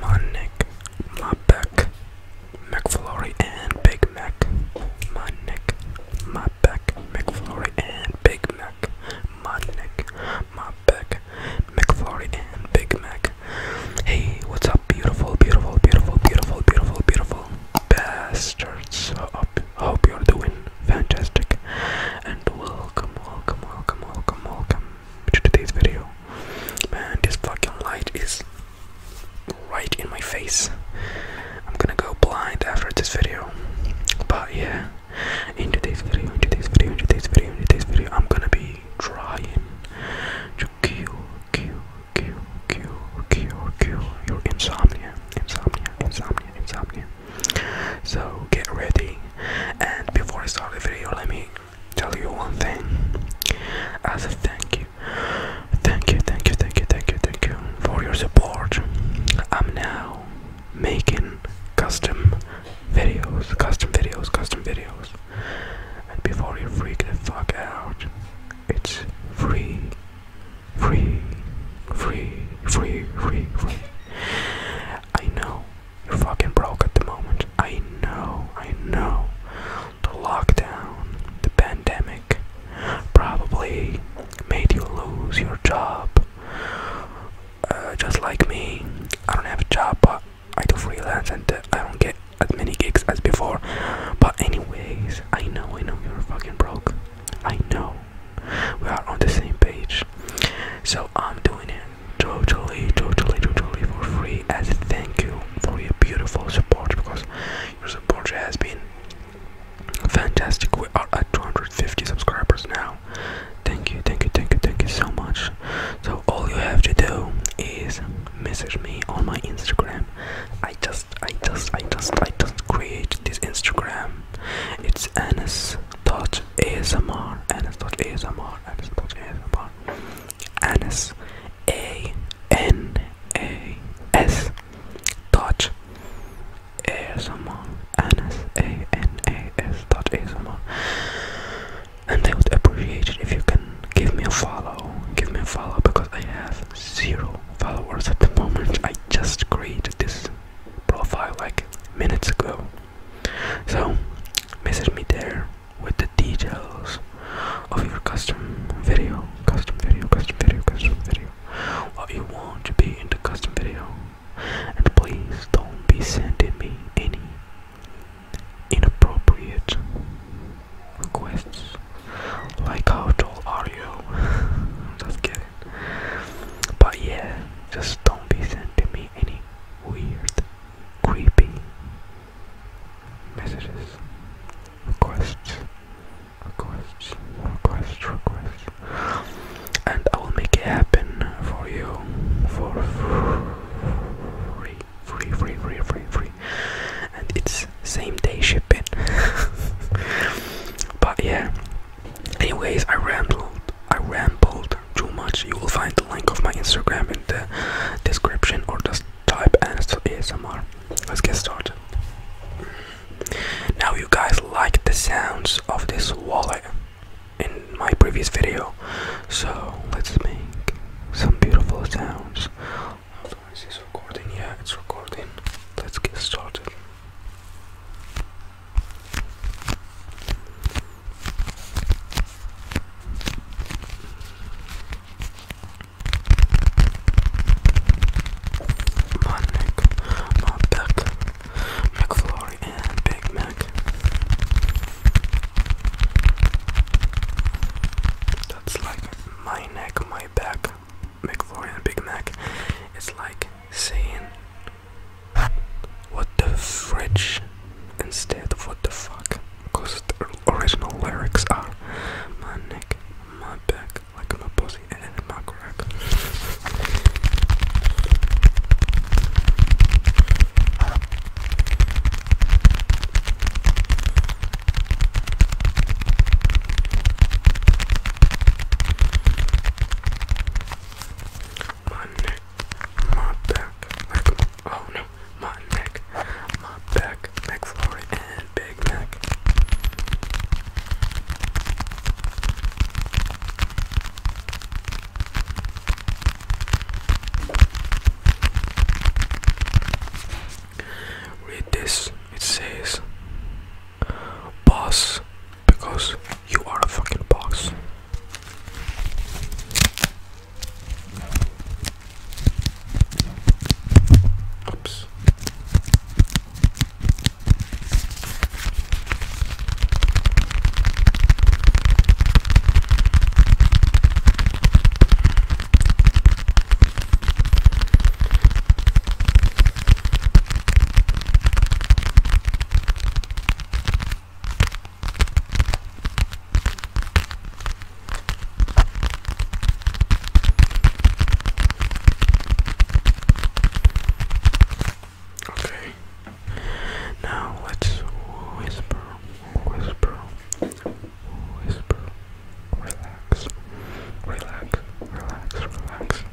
Monic, Mabec, McFlurry, and Big Mac. Monic, Mabec, McFlurry, and Big Mac. Monic, Mabec, McFlurry, and Big Mac. Hey, what's up, beautiful, beautiful, beautiful, beautiful, beautiful, beautiful bastards? Hope, hope you're doing fantastic and welcome welcome welcome welcome welcome to today's video man this fucking light is right in my face i'm gonna go blind after this video but yeah in today's video in today's video in today's video in today's video i'm gonna be trying to kill kill kill kill kill kill your insomnia insomnia insomnia insomnia so get ready. And before I start the video, let me tell you one thing. As a thank you, thank you, thank you, thank you, thank you, thank you for your support. I'm now making custom videos, custom videos, custom videos. And before you freak the fuck out, it's free, free, free, free, free, free. I know you're fucking broke at the moment. I know, I know. The lockdown, the pandemic probably made you lose your job. Uh, just like me, I don't have a job, but I do freelance and uh, I don't get as many gigs as before. But, anyways, I know, I know you're fucking broke. I know now we are on the same page so i'm doing it totally totally totally for free as a thank you for your beautiful support because your support has been fantastic we are at 250 subscribers now thank you thank you thank you thank you so much so all you have to do is message me on my instagram i just i just i just i just create this instagram it's anas dot ASMR, Anas dot ASMR, Anas dot ASMR, Anas A N A S dot ASMR, Anas A N A S dot ASMR, and I would appreciate it if you can give me a follow, give me a follow because I have zero followers at the moment. I just created this profile like minutes ago so, message me there with the details of your custom video, custom video, custom video, custom video, what you want to be in the custom video, and please don't be sending me any inappropriate requests like how tall are you? Just kidding. But yeah, just don't be sending me any weird, creepy messages, requests, requests, requests, requests. And I will make it happen for you for free, free, free, free, free. And it's same day shipping. but yeah, Anyways, I rambled. I rambled too much. You will find the link of my Instagram in the description, or just type ASMR. Let's get started. Now, you guys liked the sounds of this wallet in my previous video, so let's make some beautiful sounds. Hold is this recording? Yeah, it's recording. Let's get started. Mac, Mac, Mac, McFlurry, and Big Mac. That's like my neck, my back, McFlurry, and Big Mac. It's like saying what the fridge instead of what the fuck? Because the original lyrics are my neck, my back, like my pussy, and my crack my neck, my back, oh no, my neck, my back, McFlurry, and Big Mac. Read this, it says, Boss because you are a fucking boss. Oops. Okay. Now let's whisper, whisper, whisper. Relax, relax, relax, relax.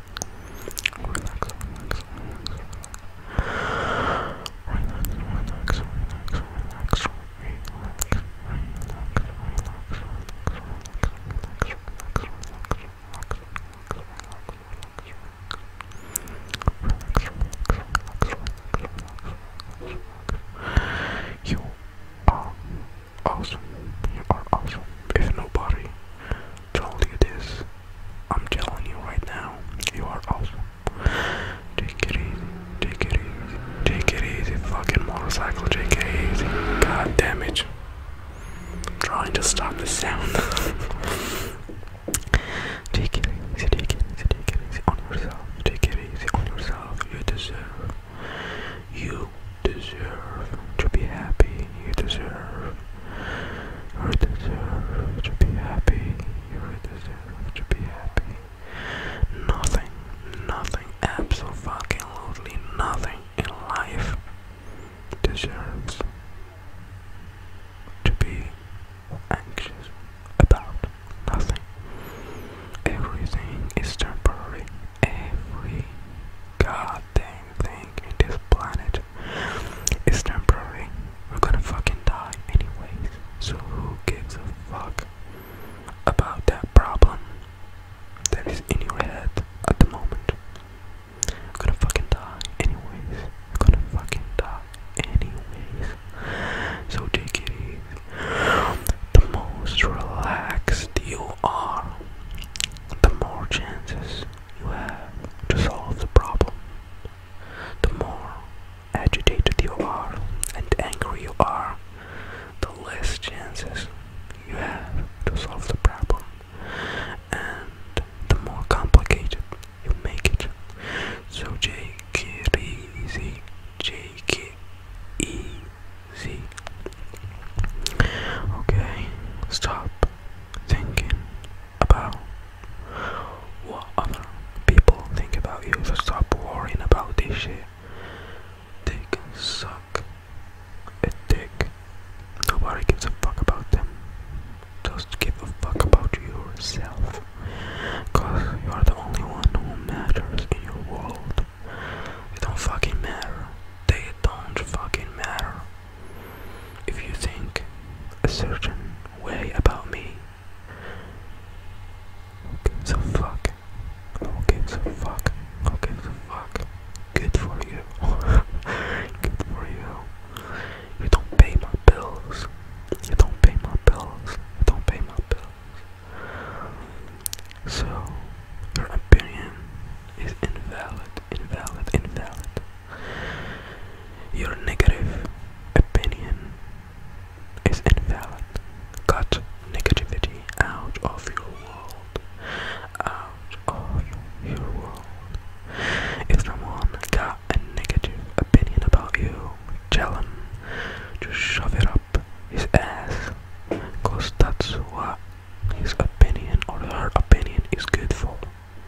relax, relax, relax. Relax, relax, relax, relax. You are awesome. You are awesome. If nobody told you this, I'm telling you right now, you are awesome. Take it easy, take it easy, take it easy, fucking motorcycle, take it easy. God damn it. trying to stop the sound. take it easy, take it easy, take it on yourself. Take it easy on yourself. You deserve. You deserve to be happy. You deserve you deserve to be happy. You deserve to be happy. Nothing, nothing, absolutely nothing in life deserves to be anxious about. Nothing. Everything is temporary. Every goddamn thing in this planet it's temporary. We're gonna fucking die anyways. So who gives a fuck about that problem that is in your head at the moment? We're gonna fucking die anyways. We're gonna fucking die anyways. So take it easy. The most relaxed you are, the more chances you have to solve the problem. The more agitated you are and angry you are, the less chances you have to solve the problem. And the more complicated you make it. So take easy, take Okay, stop thinking about what other people think about you. stop worrying about this shit. They suck a dick. Nobody gives a fuck about them. Just give a fuck about yourself. Cause you are the only one who matters in your world. It don't fucking matter. They don't fucking matter. If you think a certain way about me, who gives a fuck? Who gives a fuck? Who gives a fuck? Good for you. Good for you. You don't pay my bills. You don't pay my bills. You don't pay my bills. So, your opinion is invalid, invalid, invalid. Your negative opinion is invalid. Cut negativity out of your world. Out of your world. If someone got a negative opinion about you, tell him to shove it up his ass. Cause that's what his opinion or her opinion is good for.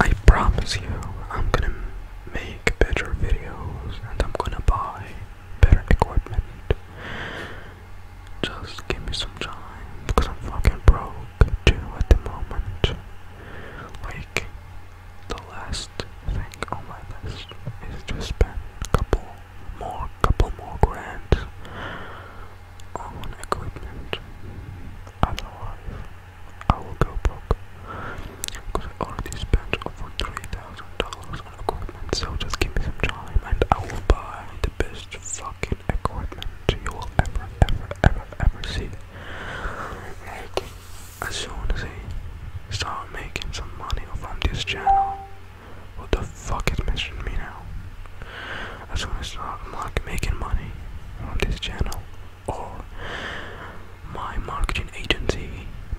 I promise you, I'm gonna make better videos and I'm gonna buy better equipment. Just give me some time because I'm fucking broke too at the moment. Like, the last thing on my list is to spend a couple more, couple more grand on equipment. Otherwise, I will go broke because I already spent over three thousand dollars on equipment. So just give me some time, and I will buy the best fucking equipment you will ever, ever, ever, ever see. Like as soon as I start making some money from this channel, what the fuck is missing me now? As soon as I start making money on this channel or my marketing agency,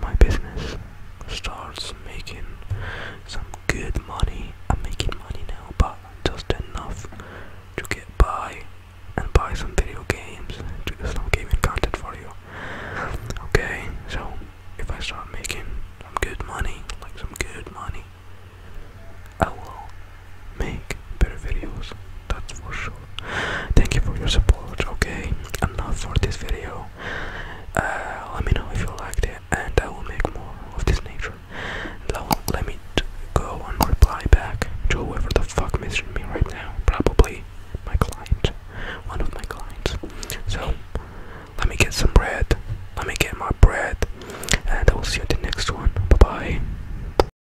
my business starts making some good money. I'm making money now, but just enough to get by and buy some video games to do some gaming content for you. Okay, so if I start making some good money, like some good money, I will make better videos, that's for sure. Thank you for your support, okay? Enough for this video. Uh, let me know if you liked it, and I will make more of this nature. Now, let me go and reply back to whoever the fuck messaged me right now. Probably my client, one of my clients. So, let me get some bread. Let me get my bread, and I will see you in the next one. Bye bye.